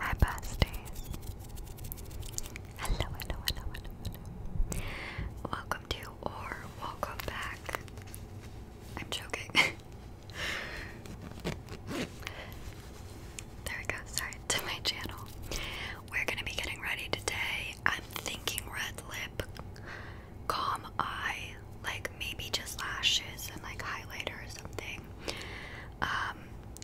Hi, besties. Hello, hello, hello, hello, hello. Welcome to or welcome back. I'm joking. there we go. Sorry to my channel. We're gonna be getting ready today. I'm thinking red lip, calm eye, like maybe just lashes and like highlighter or something um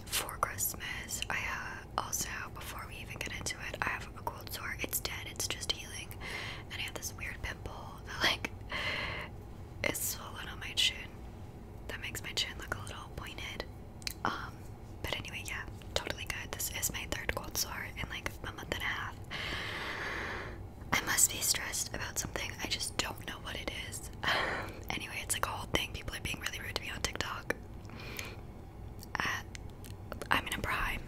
for Christmas. I uh, also before we even get into it, I have a cold sore. It's dead. It's just healing, and I have this weird pimple that like is swollen on my chin. That makes my chin look a little pointed. Um, but anyway, yeah, totally good. This is my third cold sore in like a month and a half. I must be stressed about something. I just don't know what it is. Um, anyway, it's like a whole thing. People are being really rude to me on TikTok. At, uh, I'm gonna prime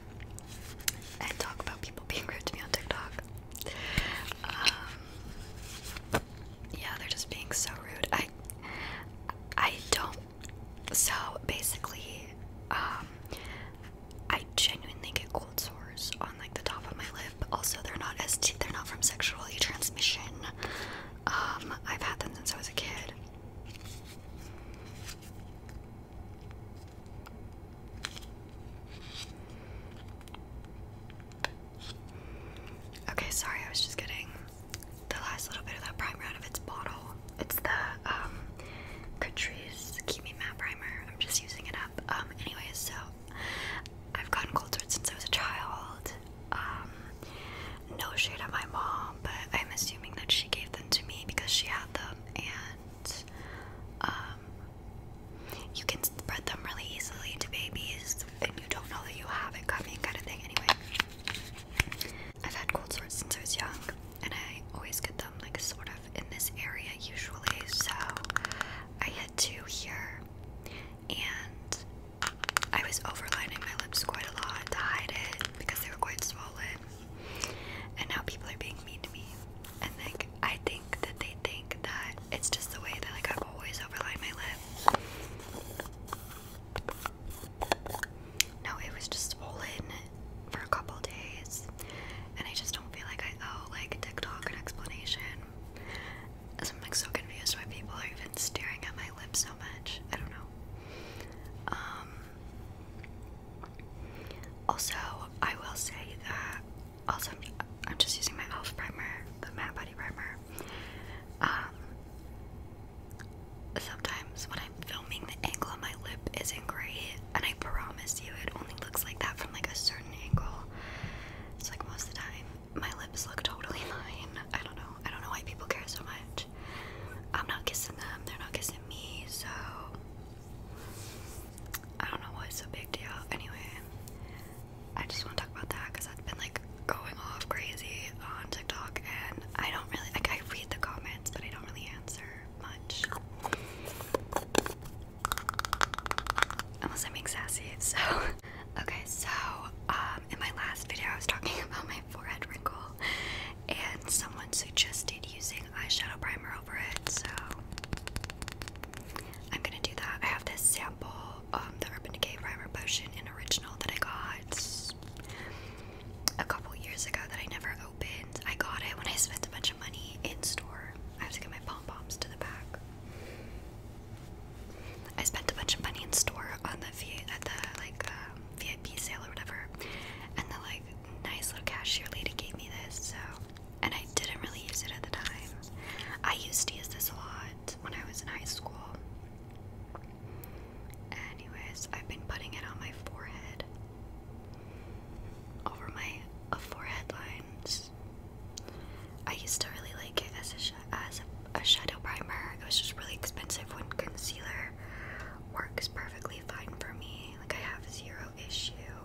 and talk about people being rude to me on TikTok. Um, yeah, they're just being so rude. I, I don't. So basically, um, I genuinely get cold sores on like the top of my lip but also they're not as they're not from sexually transmission. Um, I've had them since I was a kid. Okay, sorry, I was just getting the last little bit of that primer out of its bottle. It's the um, Catrice Kimi Matte Primer. I'm just using it up. Um, anyways, so I've gotten cold sores since I was a child. Um, no shade on my mom, but I'm assuming that she gave them to me because she had them, and um, you can spread them really easily to babies, and you don't know that you have it coming, kind of thing. Anyway, I've had cold sores since I was young, and I always get them like sort of in this area usually. So I had two here and I was overlining my lips quite a lot to hide it because they were quite swollen. And now people are being mean to me, and like I think that they think that it's just the way that like I've always overlined my lips. No, it was just swollen for a couple days, and I just don't feel like I owe like a TikTok an explanation. I'm like so confused why people are even staring at my lips so much. I don't know. Um, also, I will say that also I'm, just using my e.l.f. primer, the matte body primer. Um, sometimes when I'm filming, the angle of my lip isn't great, and I promise you, it only looks like that from like a certain angle. It's like most of the time my lips look totally mine. I don't know. I don't know why people care so much. I'm not kissing them, they're not kissing me, so I don't know why it's a big deal. Anyway, I just want to talk about that because I've been like going off crazy on TikTok and I don't really like I read the comments, but I don't really answer much. I'm being sassy, so. Okay, so um, in my last video, I was talking about my forehead wrinkle, and someone suggested using eyeshadow primer over it, so I'm gonna do that. I have this sample, um, the Urban Decay Primer Potion in Original that I got a couple years ago that I never opened. I got it when I spent a bunch of money in store. I have to get my pom poms to the back. I spent a bunch of money in store on the at uh, the like um, VIP sale or whatever, and the like nice little cashier lady gave me this. So, and I didn't really use it at the time. I used to use this a lot when I was in high school. Anyways, I've been putting it on my forehead, over my forehead line, I used to really like it as a as a, a shadow primer. It was just really expensive when concealer works perfectly fine for me. Like I have zero issue.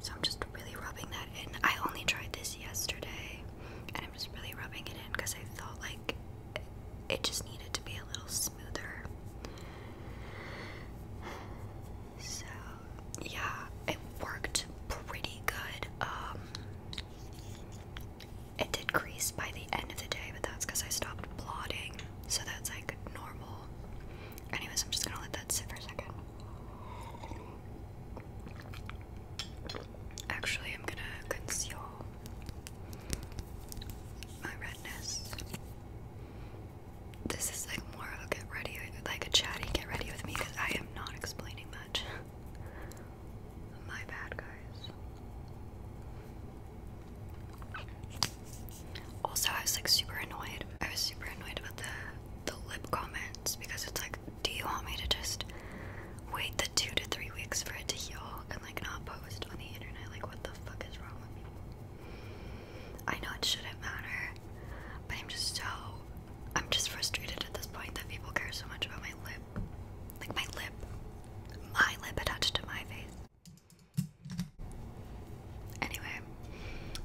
So I'm just really rubbing that in. I only tried this yesterday and I'm just really rubbing it in because I felt like it just needed to be a little smoother. So yeah, it worked pretty good. Um, it did crease by the end of the day, but that's because I stopped blotting. So that's like normal. Anyways, I'm just gonna let that sit for a second. Actually, I'm gonna conceal my redness. This is like more get ready, like a chatty get ready with me because I am not explaining much. My bad, guys. Also, I was like super annoyed. I was super annoyed about the the lip comments because it's like, do you want me to just wait the two to three weeks for it to heal and like not post on the internet? Like, what the fuck is wrong with people? I know it shouldn't matter, but I'm just so I'm just frustrated at this point that people care so much about my lip. Like my lip. My lip attached to my face. Anyway,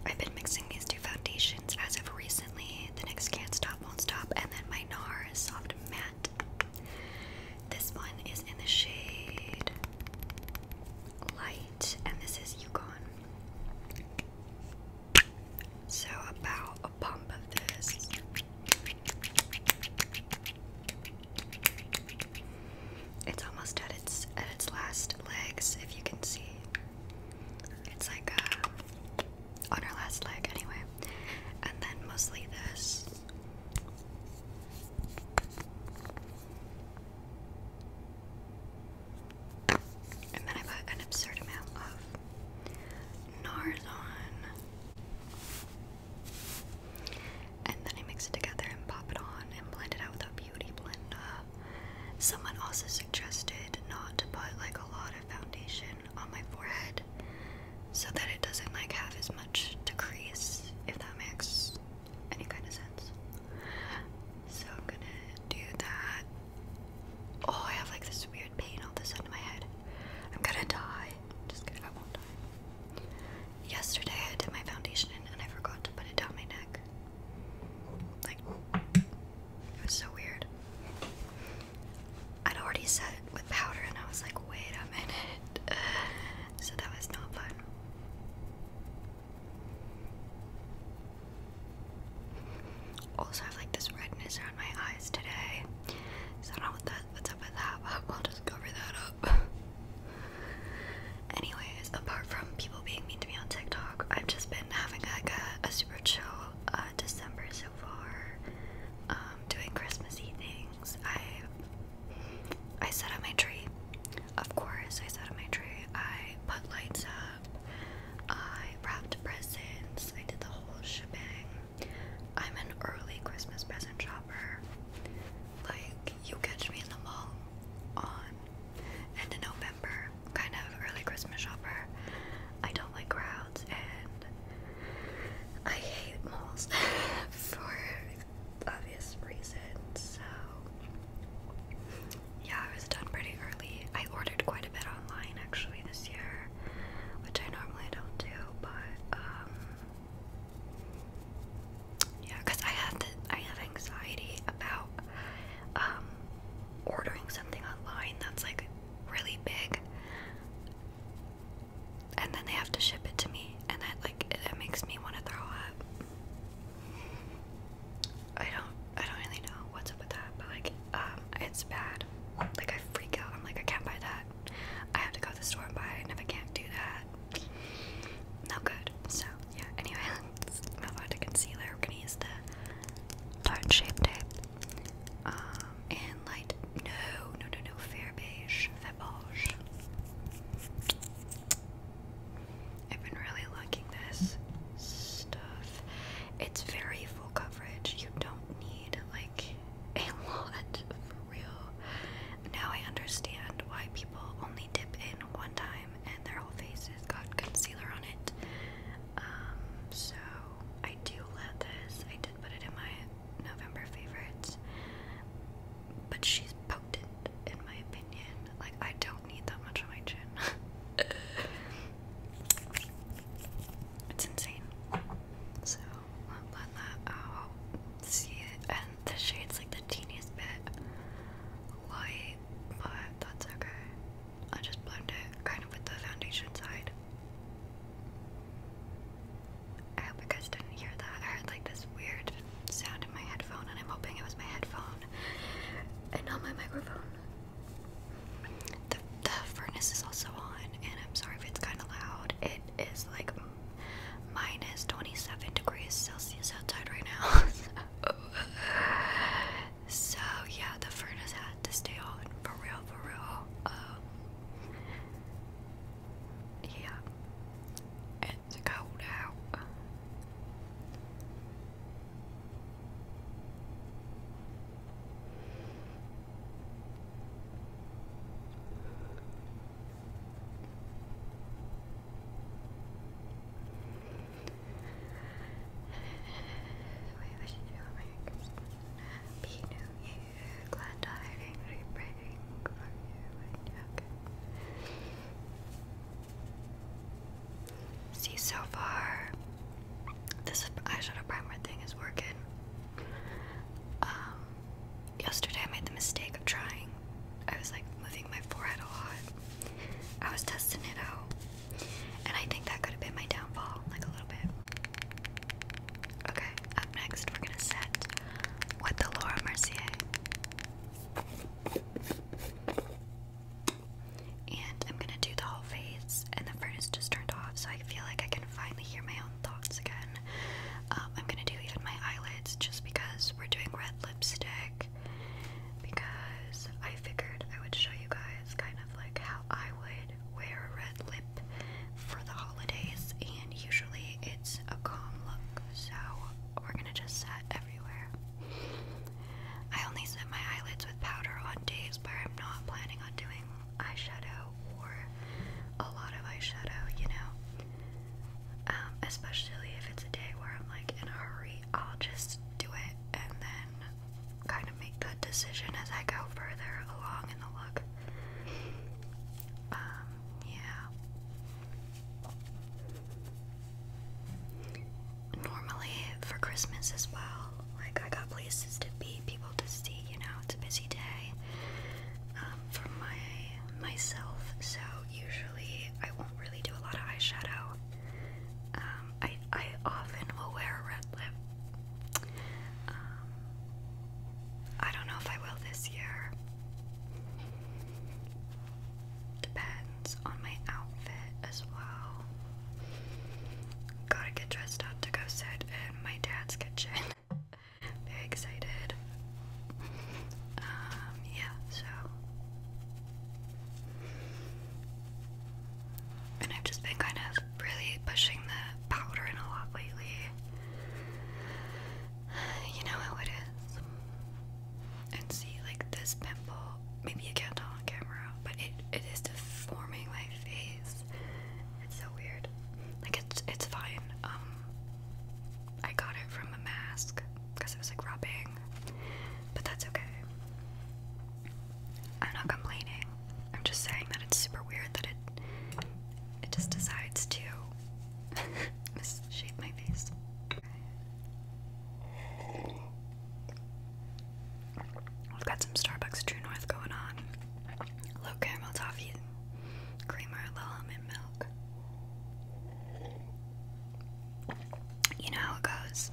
I've been mixing these two foundations as of recently. The next Can't Stop Won't Stop and then my NARS Soft Matte. This one is in the shade Light and this is Yukon. So, about a pump of this. It's almost at its at its last legs, if you can see. It's like uh, on our last leg, anyway. And then mostly this. And then I put an absurd amount of NARS on. And then I mix it together and pop it on and blend it out with a beauty blender. Someone also suggested not to put like a lot of foundation on my forehead so that it doesn't like have as much to crease, if that makes any kind of sense. So I'm gonna do that. Oh, I have like this weird pain all of a sudden my head. I'm gonna die. Just kidding, I won't die. Yesterday I did my foundation and I forgot to put it down my neck. Like, it was so weird. I'd already set it with powder and I was like, wait a minute. So that was not fun. Also, I have like this redness around my eyes today, so I don't know what's up with that, but I'll just cover that up. Anyways, apart from people being mean to me on TikTok, I've just been having like a, a super chill uh, December so far. Um, doing Christmassy things. I I set up my tree. Of course, I set up my tree. I put lights up. I wrapped presents. I did the whole shipping. I'm an early Christmas present shopper. Like, you catch me in the mall on end of November, kind of early Christmas shopper. I don't like crowds and I hate malls for obvious reasons. So yeah, I was done pretty early. I ordered quite a bit online actually this year, which I normally don't do, but um yeah, because I have the, I have anxiety about um ordering something online that's like really big and then they have to ship it to me and that like that makes me want to throw up. I don't I don't really know what's up with that, but like um it's bad. Like I freak out. I'm like I can't buy that. I have to go to the store and buy it, and if I can't do that, no good. So yeah. Anyway, i us move on to concealer. We're gonna use the part shape tape. Um and light no no no no fair beige fair beige. I've been really liking this stuff it's very full coverage. You don't need like a lot for real. Now I understand why people only dip in one time and their whole face is got concealer on it. Um, so I do love this. I did put it in my November favorites, but she's potent in my opinion. Like I don't need that much on my chin. it's insane. So I'll blend that out. See it, and the shade's like the teeniest bit light, but that's okay. I just blend it kind of with the foundation side. I hope you guys didn't hear that. I heard like this weird sound in my headphone, and I'm hoping it was my headphone and not my microphone. The, the furnace is also on, and I'm sorry if it's kind of loud. It is like minus 27 degrees Celsius outside right now. so, yeah, the furnace had to stay on for real, for real. Um, yeah, it's cold out. We wish you a Merry Christmas and a Happy New Glad to hiding, repraying for you. Okay. See, so far, this eyeshadow primer thing is working. Um, yesterday I made the mistake of trying. I was like moving my forehead a lot. I was testing it out. And I think that could have been my downfall, like a little bit. Okay, up next we're gonna set with the Laura Mercier. And I'm gonna do the whole face, and the furnace just turned off, so I feel like I can finally hear my own thoughts again. Um, I'm gonna do even my eyelids just because we're doing red lipstick. Because I figured I would show you guys kind of like how I would wear a red lip for the holidays, and usually it's a calm look, so we're gonna just set everywhere. I only set my eyelids with powder on days where I'm not planning on doing eyeshadow or a lot of eyeshadow, you know? Um, especially if it's a day where I'm like in a hurry, I'll just do it and then kind of make that decision as I go further along in the look. Um, yeah normally for Christmas as well. Like, I got places to be, people to see, you know, it's a busy day um, my myself, so usually I won't really do a lot of eyeshadow. Um, I, I often will wear a red lip. Um, I don't know if I will this year. Depends on my outfit as well. Gotta get dressed up to go sit in my dad's kitchen. Very excited. Um, yeah, so. And I've just been kind of really pushing the powder in a lot lately. You know how it is. And see, like, this pimple maybe you can't tell on camera, but it, it is deforming my face. It's so weird. Like it's it's fine. Um, I got it from a mask because it was like rubbing, but that's okay. I'm not complaining. I'm just saying that it's super weird that it it just decides to misshape my face. We've got some Starbucks True North going on. Low caramel toffee, creamer, low almond milk. You know how it goes.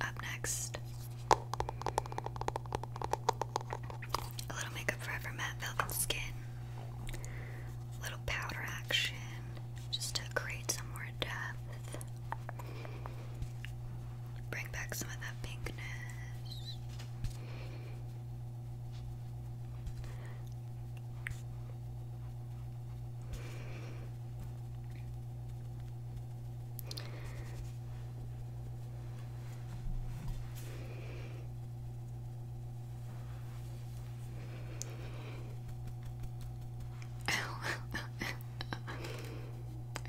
Up next, a little makeup forever matte velvet skin, a little powder action, just to create some more depth. Bring back some of that pinkness. I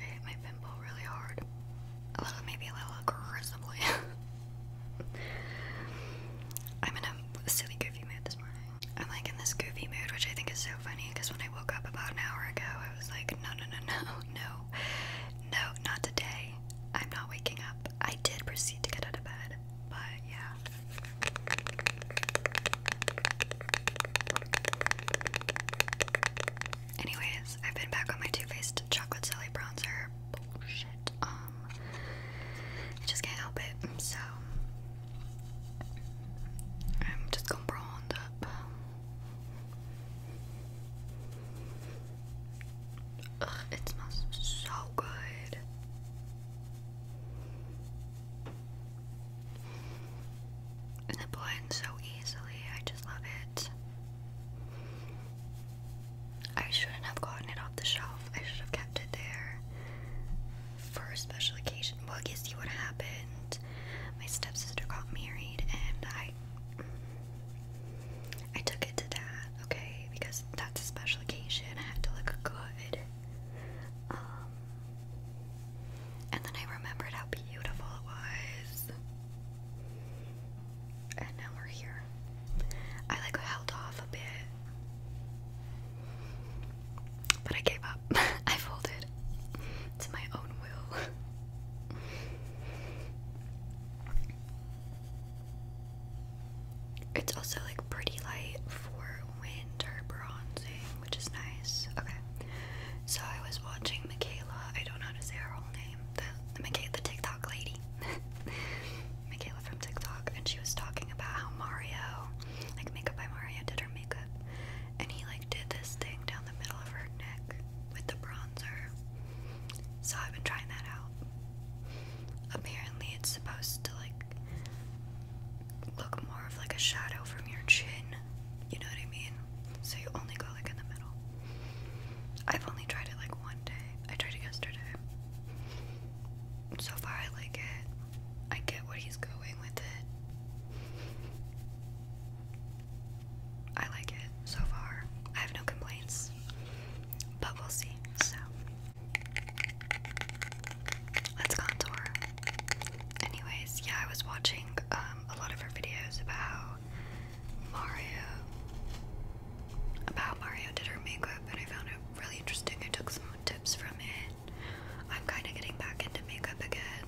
hit my pimple really hard. A little, maybe a little aggressively. I'm in a silly goofy mood this morning. I'm like in this goofy mood, which I think is so funny because when I woke up about an hour ago, I was like, no, no, no, no, no, no, not today. I'm not waking up. I did proceed to get out of bed, but yeah, Anyways, I've been back on my Too Faced Chocolate Jelly Bronzer Um, I just can't help it, so I'm just gonna bronze up. Ugh, it smells so good. And it blends so easily. I just love it. I shouldn't have gotten it off the shelf. I should have kept it there for a special occasion. Well, guess you what happened. My stepsister got married, and I I took it to that, okay, because that's a special occasion. I had to look good. Um, and then I remembered how beautiful it was. And now we're here. I like held off a bit. But I gave up. I folded to my own will. It's also like pretty light for winter bronzing which is nice. Okay. So I was watching Michaela. I don't know how to say her whole name. The Michaela, TikTok lady. Michaela from TikTok, and she was talking about how Mario, like Makeup by Mario, did her makeup, and he like did this thing down the middle of her neck with the bronzer. So I've been trying that out. Apparently, it's supposed to like look more of like a shadow from your chin. You know what I mean? So you only go like in the middle. I've only tried it like one day. I tried it yesterday. So far, I like it. I get what he's going with it. I like it so far. I have no complaints. But we'll see. So. Let's contour. Anyways, yeah, I was watching um, a lot of her videos about Mario, about Mario did her makeup, and I found it really interesting. I took some tips from it. I'm kind of getting back into makeup again,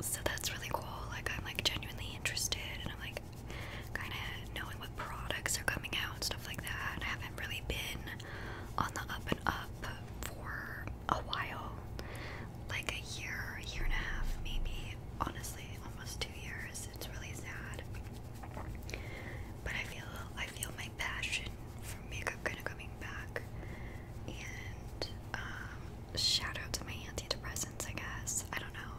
so that's really cool. Like I'm like genuinely interested, and I'm like kind of knowing what products are coming out and stuff like that. And I haven't really been on the up and up for a while like a year, year and a half, maybe honestly, almost two years. It's really sad, but I feel I feel my passion for makeup kind of coming back. And um, shout out to my antidepressants, I guess. I don't know.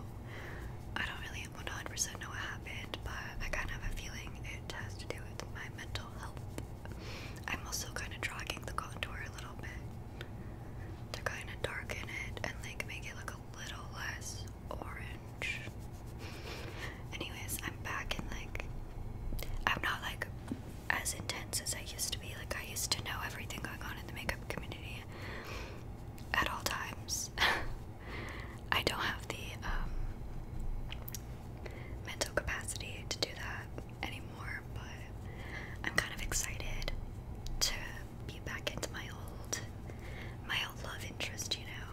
I don't really 100% know what happened, but I kind of have a feeling it has to do with my mental health. I'm also kind of dragging the contour a little bit to kind of darken it and like make it look a little less orange. Anyways, I'm back in like I'm not like as intense as I used to be. Like I used to know everything going on in the makeup community at all times. I don't have the um, mental capacity to do that anymore, but I'm kind of excited to be back into my old my old love interest, you know.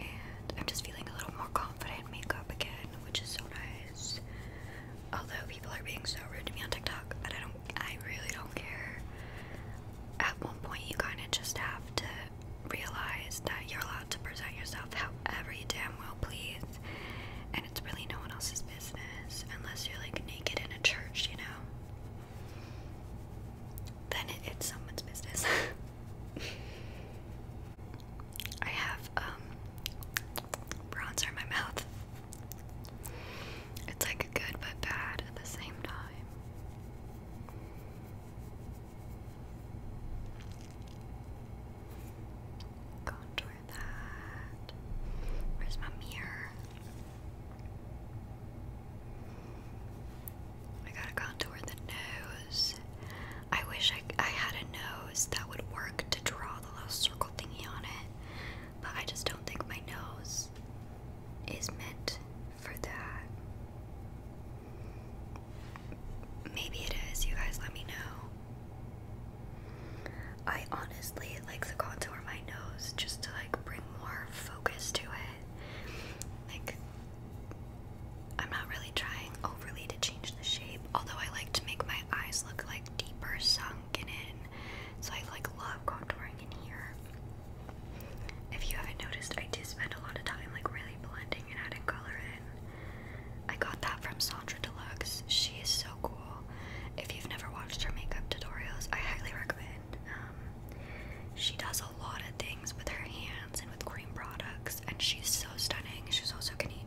And I'm just feeling a little more confident in makeup again, which is so nice. Although people are being so rude to me on TikTok, but I don't I really don't care. At one point you kinda just have to realize that you're allowed to present yourself however you damn well please, and it's really no one else's business unless you're like naked in a church, you know? Then it's someone's business. I have um bronzer in my mouth. It's like good but bad at the same time. Contour that. Where's my mirror? I gotta contour the nose. I wish I, I had a nose that would work to draw the little circle thingy on it, but I just don't think my nose is meant for that. Maybe it is, you guys let me know. I honestly like the contour my nose just to like bring more focus to it. Like I'm not really trying overly to change the shape, although I like to make my eyes look like deeper sunk in. So I like love contouring in here. If you haven't noticed, I do spend a lot of time like really blending and adding color in. I got that from Sandra Deluxe. She is so cool. If you've never watched her makeup tutorials, I highly recommend. Um, she does a lot of things with her hands and with cream products, and she's so stunning. She's also Canadian.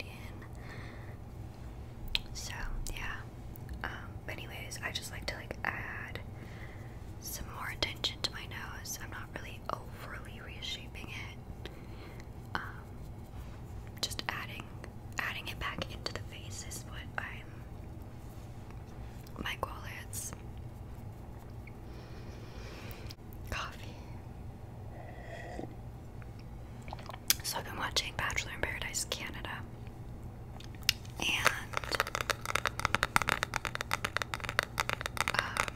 So yeah. Um, anyways, I just like to like add some more attention to my nose. I'm not really over overly reshaping it. Um, just adding adding it back into the face is what my goal is. Coffee. So I've been watching Bachelor in Paradise Canada. And um,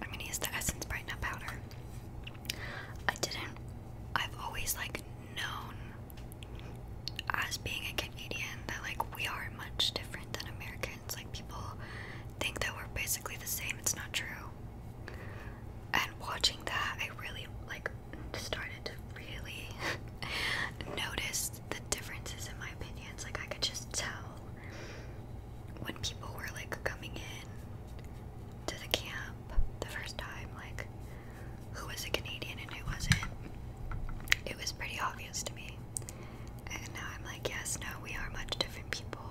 I'm gonna use the Essence Brightener Powder. I didn't, I've always like known as being a Canadian that like we are much different than Americans. Like people think that we're basically the same. It's not true. And watching that, I really like started to really noticed the differences in my opinions. Like I could just tell when people were like coming in to the camp the first time, like who was a Canadian and who wasn't. It was pretty obvious to me. And now I'm like, yes, no, we are much different people.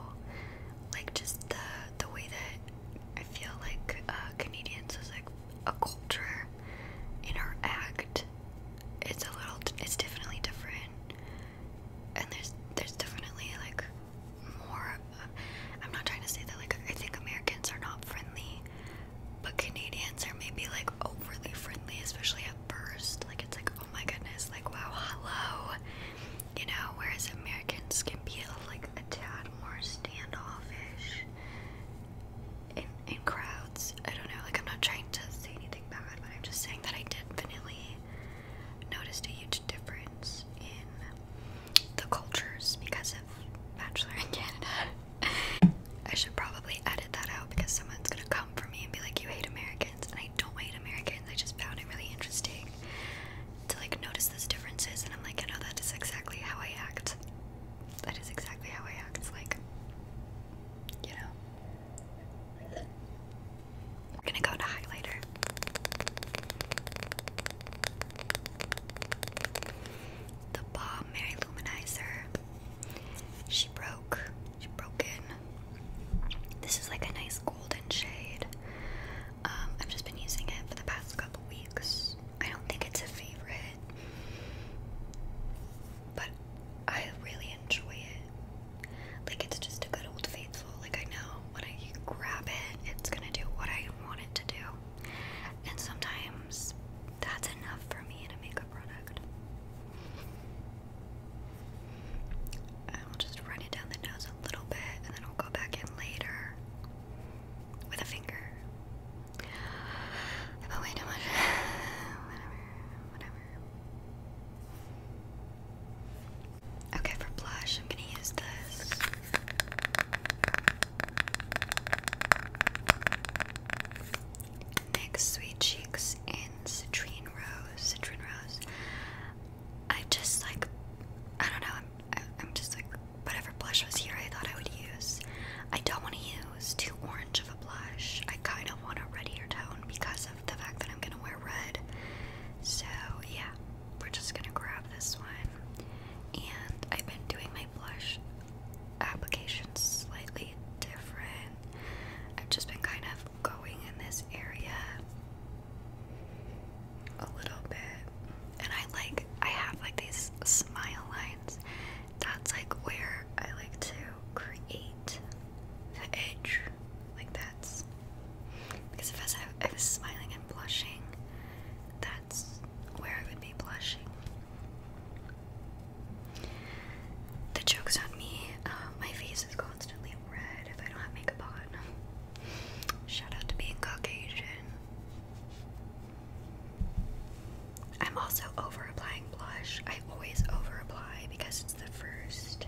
Like just the the way that I feel like uh, Canadians is like a culture in our act it's a little it's definitely different and there's there's definitely like more I'm not trying to say that like I think Americans are not friendly but Canadians are maybe like overly friendly especially at first like it's like oh my goodness like wow hello you know whereas Americans can be like a tad more standoffish in crowds. I don't know. Like I'm not trying to say anything bad, but I'm just saying that I definitely noticed a huge difference in the cultures because of Bachelor in Canada. I should probably edit that out because someone's gonna come for me and be like, "You hate Americans," and I don't hate Americans. I just found it really interesting to like notice those differences, and I'm like, "I know that is exactly how I act. That is exactly how I act." Like, you know. I'm gonna go to highlighter. The Bomb Mary Luminizer. She broke. She broke in. This is like a nice golden shade. Um, I've just been using it for the past couple weeks. I don't think it's a favorite, but I really enjoy it. Like it's just a good old faithful. Like I know when I grab it, it's gonna do what I want it to do. And sometimes that's enough for me to make a product. I'll just run it down the nose a little bit and then I'll go back in later with a finger. I way too much. whatever, whatever. Okay, for blush, I'm gonna use this. Next, Sweet Cheeks in Citrine Rose. Citrine Rose. I just like, I don't know, I'm, I'm just like, whatever blush was here, I thought I would use. I don't want to use too orange of a blush. I kind of want a reddier tone because of the fact that I'm gonna wear red. So yeah, we're just gonna grab this one. And I've been doing my blush application slightly different. I've just been kind of going in this area a little bit. And I like I have like these smile lines. That's like where I like to create the edge like that's because if I, I was smiling and blushing that's where I would be blushing the joke's on me uh, my face is constantly red if I don't have makeup on shout out to being Caucasian I'm also over applying blush. I always over apply because it's the first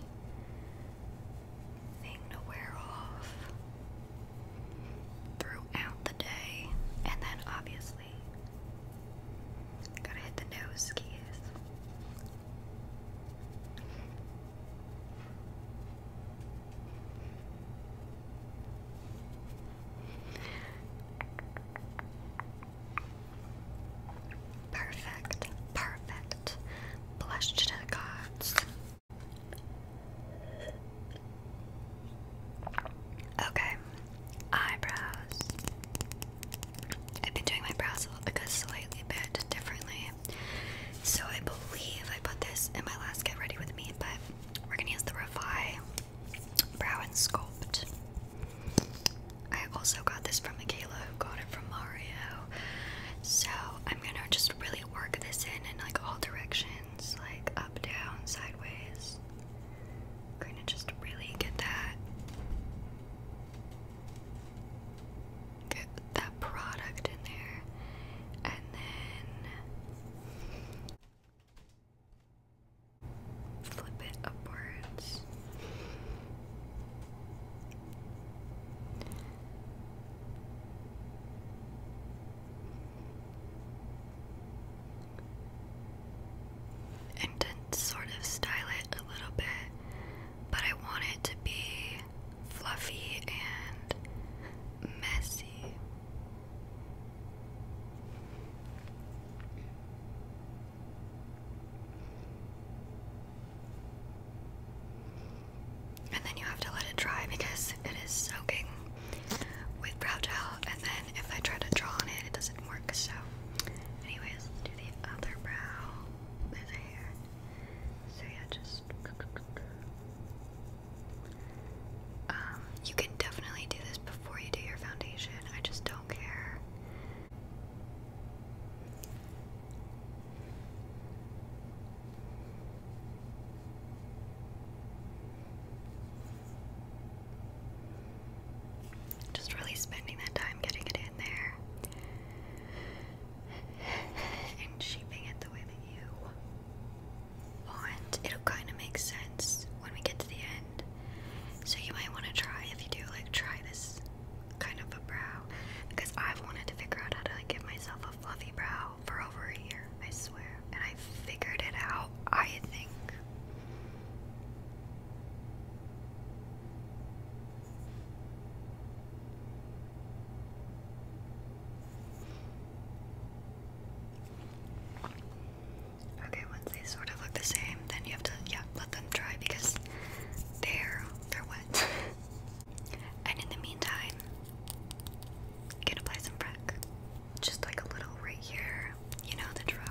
thing to wear off throughout the day. And then obviously, gotta hit the nose skis. Perfect, perfect. Blush to the gods. Okay, eyebrows. I've been doing my brows a slightly bit differently. So I believe I put this in my last get ready with me, but we're gonna use the Revi Brow and Sculpt. I also got this from Michaela, who got it from Mario. So I'm gonna just really work this in in like all directions, like up, down, sideways. gonna just really get that get that product in there, and then flip it upwards. And sort of style it a little bit, but I want it to be fluffy and messy. And then you have to let it dry because it is soaking with brow gel. And then if I try to draw on it, it doesn't work. So, anyways, let's do the other brow. There's a hair. So yeah, just. Um, you can definitely do this before you do your foundation. I just don't care. Just really spending that time getting it in there and shaping it the way that you want. It'll kind of make sense when we get to the end. So you might want to try if you do like try this kind of a brow because I've wanted to figure out how to give myself a fluffy brow for over a year, I swear. And I figured it out, I think. Okay, once they sort of look the same, then you have to, yeah, let them dry because they're, they're wet. and in the meantime, you can apply some Prec. Just like a little right here, you know the drill.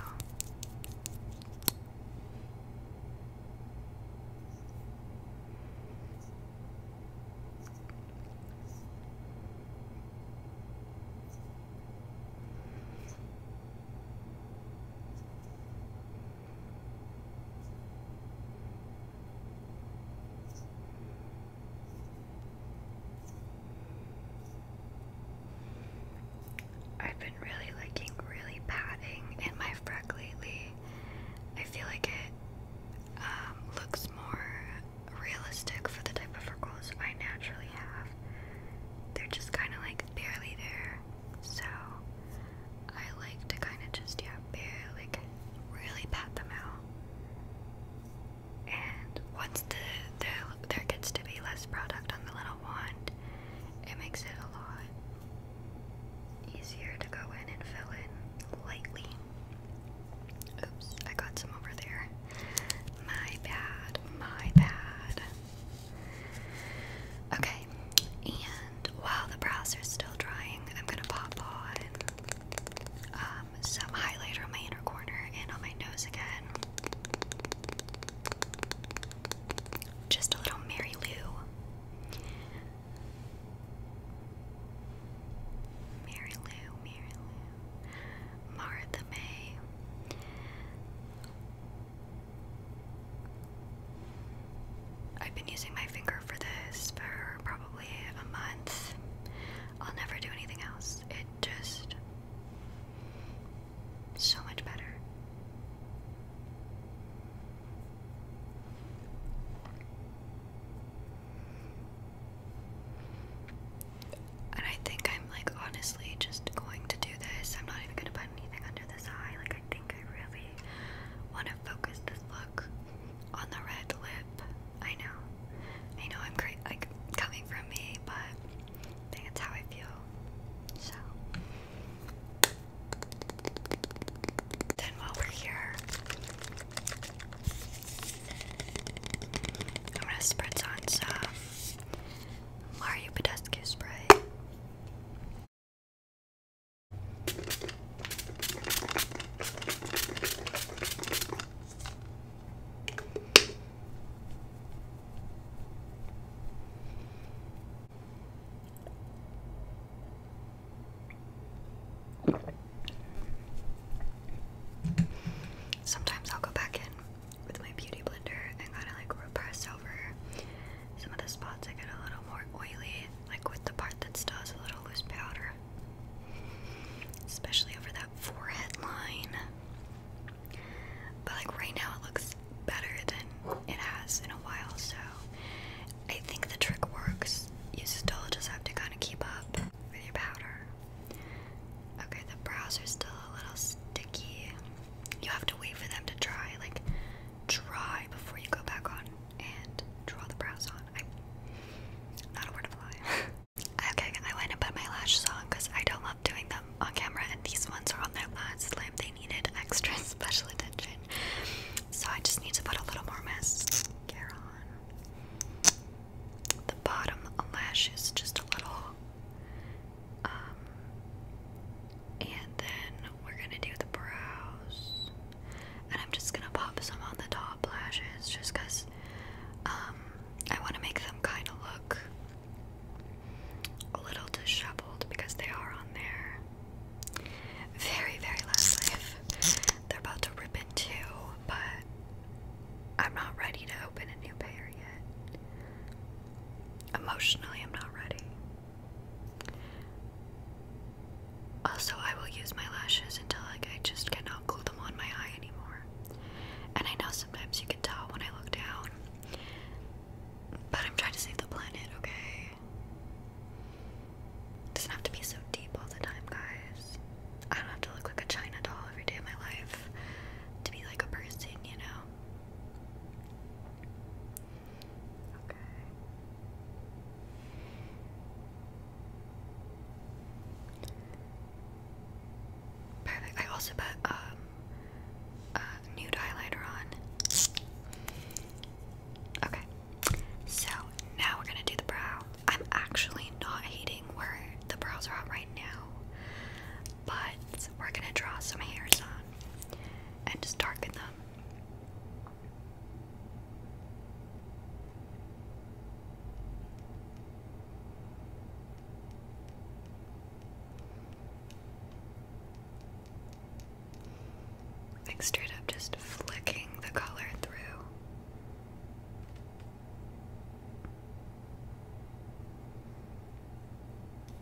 I've been really liking really padding in my freck lately. I feel like it um, looks more realistic for the type of freckles I naturally have. They're just kind of like barely there. So I like to kind of just, yeah, bare, like really pat them out. And once the, the there gets to be less product on the little wand, it makes it a lot easier to go in and fill in lightly. Oops, I got some over there. My bad, my bad. Okay, and while the browser's still drying, I'm gonna pop on um, some highlighter on my inner corner and on my nose again. Just a little Mary Lou. Mary Lou, Mary Lou, Martha May. I've been using my finger for this for probably a month. I'll never do anything else. It just. so much better. And I think I'm like honestly just going to do this. I'm not even going to buy anything under this eye. Like, I think I really want to focus this look on the red lip. I know. I know I'm great, like, coming from me, but I how I feel. So. Then while we're here, I'm gonna spritz on some Mario Podescu spray. Sometimes I'll go back in with my beauty blender and kind of like repress over some of the spots that get a little more oily, like with the part that still has a little loose powder, especially over that forehead line. But like right now, it looks better than it has in a while, so I think the trick works. You still just have to kind of keep up with your powder. Okay, the brows are still a little sticky you have to wait for them to dry, like dry before you go back on and draw the brows on. I'm not a word of lie. okay, I went and put my lashes on because I don't love doing them on camera, and these ones are on their last limb. They needed extra special attention, so I just need to put a little more mascara on. The bottom lashes, just a little. Um, and then we're gonna do the brows, and I'm just gonna pop some on the top lashes, just cause um, I want to make them kind of look a little disheveled because they are on there. Very, very last life. They're about to rip into, but I'm not ready to open a new pair yet. Emotionally, I'm not ready. Also, I will use my lashes until like I just cannot glue them on my eye anymore. And I know sometimes you can tell when I look down. But I'm trying to save the planet, okay? doesn't have to be so deep all the time, guys. I don't have to look like a China doll every day of my life to be like a person, you know? Perfect. I also put um, a nude highlighter on. Okay. So now we're gonna do the brow. I'm actually not hating where the brows are at right now but we're gonna draw some hairs on and just darken them. Like straight up just flicking the color through.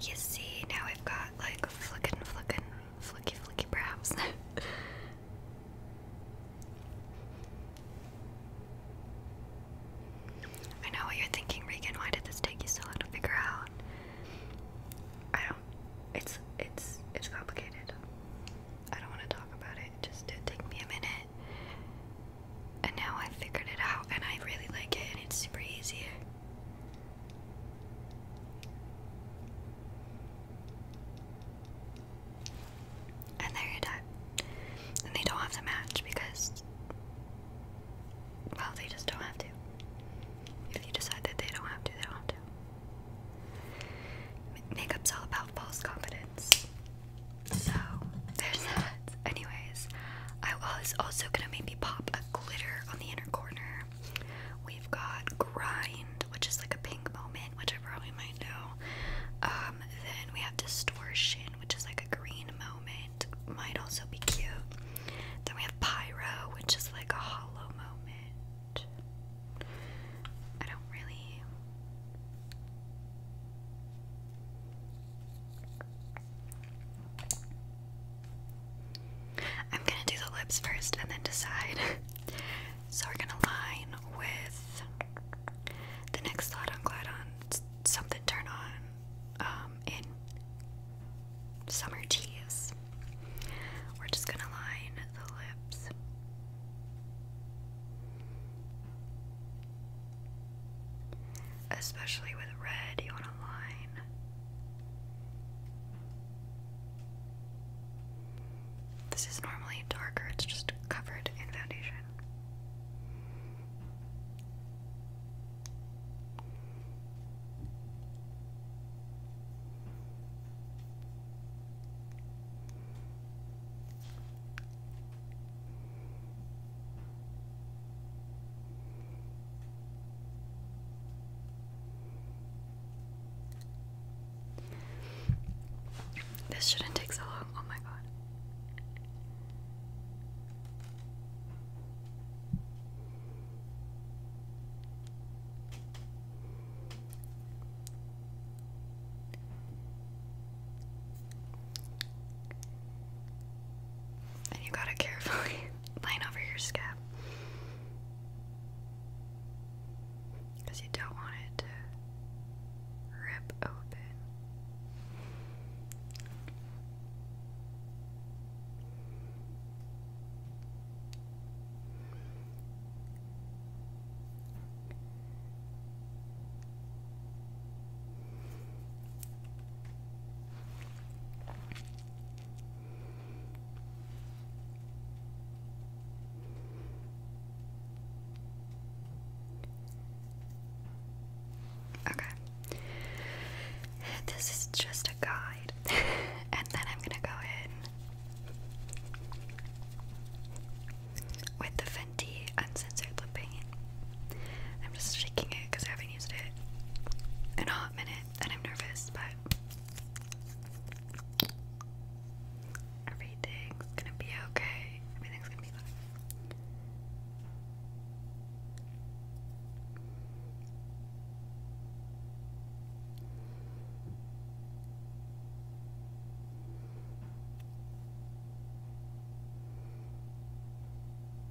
You see, now we have got like flickin' flickin' flicky flicky perhaps. I know what you're thinking, Regan. Why did this take you so long to figure out? I don't. It's it's it's complicated. I don't want to talk about it. just take me a minute, and now I figured it out, and I really like it, and it's super easy. And there you go. And they don't have to match because, well, they just don't have to. If you decide that they don't have to, they don't have to. Makeup's all about false confidence. So, there's that. Anyways, I was also gonna maybe pop a glitter on the inner corner. We've got Grind, which is like a pink moment, which I probably might know. Um, then we have Distortion, which is like a green moment, might also be cute. Then we have Pyro, which is like a hollow moment. I don't really. I'm gonna do the lips first and then decide. so we're gonna line with the next thought on glad on something turn on um, in summer teas. We're just gonna line the lips. Especially with red, you want to line this is normally darker, it's just covered in foundation. This shouldn't take so long. Oh my god. And you gotta carefully line over your scalp, Because you don't want it to rip open. Okay. This is just a guide, and then I'm gonna go in with the Fenty Uncensored Lip Paint. I'm just shaking it because I haven't used it in a hot minute and I'm nervous, but everything's gonna be okay. Everything's gonna be fine.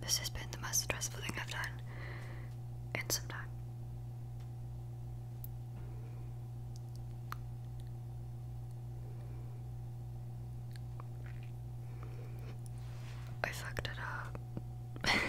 This has been the most stressful thing I've done in some time. I fucked it up.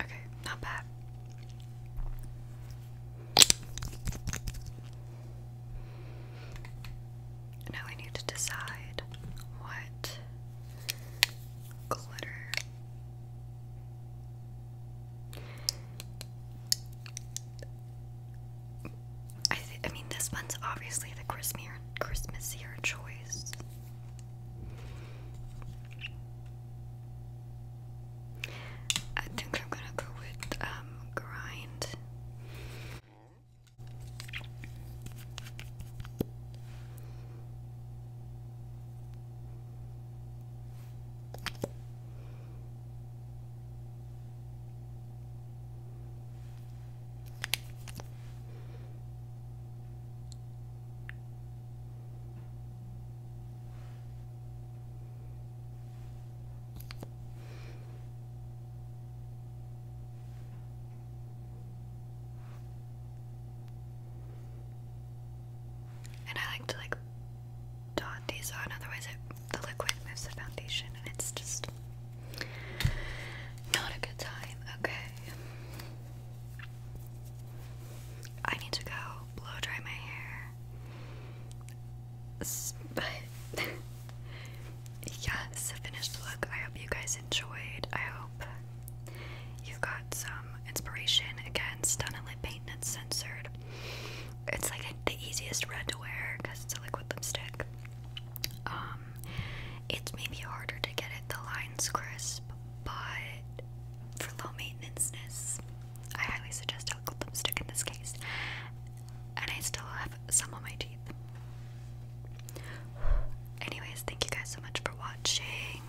Okay, not bad. Now we need to decide what glitter. I I mean this one's obviously the Christmas Christmasier choice. I think I'm gonna go with um, grind. And I like to like dot these on, otherwise it, the liquid moves the foundation and it's just not a good time. Okay. I need to go blow dry my hair. But yeah, a finished look. I hope you guys enjoyed. I hope you got some inspiration. Again, Stunna Lip Paint and it's censored. It's like the easiest red to wear because it's a liquid lipstick. Um, it's maybe harder to get it the lines crisp, but for low maintenance I highly suggest alcohol lipstick in this case. And I still have some of my teeth. Anyways, thank you guys so much for watching.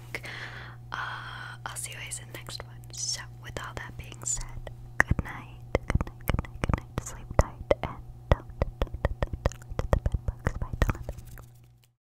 Uh, I'll see you guys in the next one. So, with all that being said, good night, good night, good night, good night. Sleep tight and don't, don't, don't, don't, don't let the bed bugs bite on.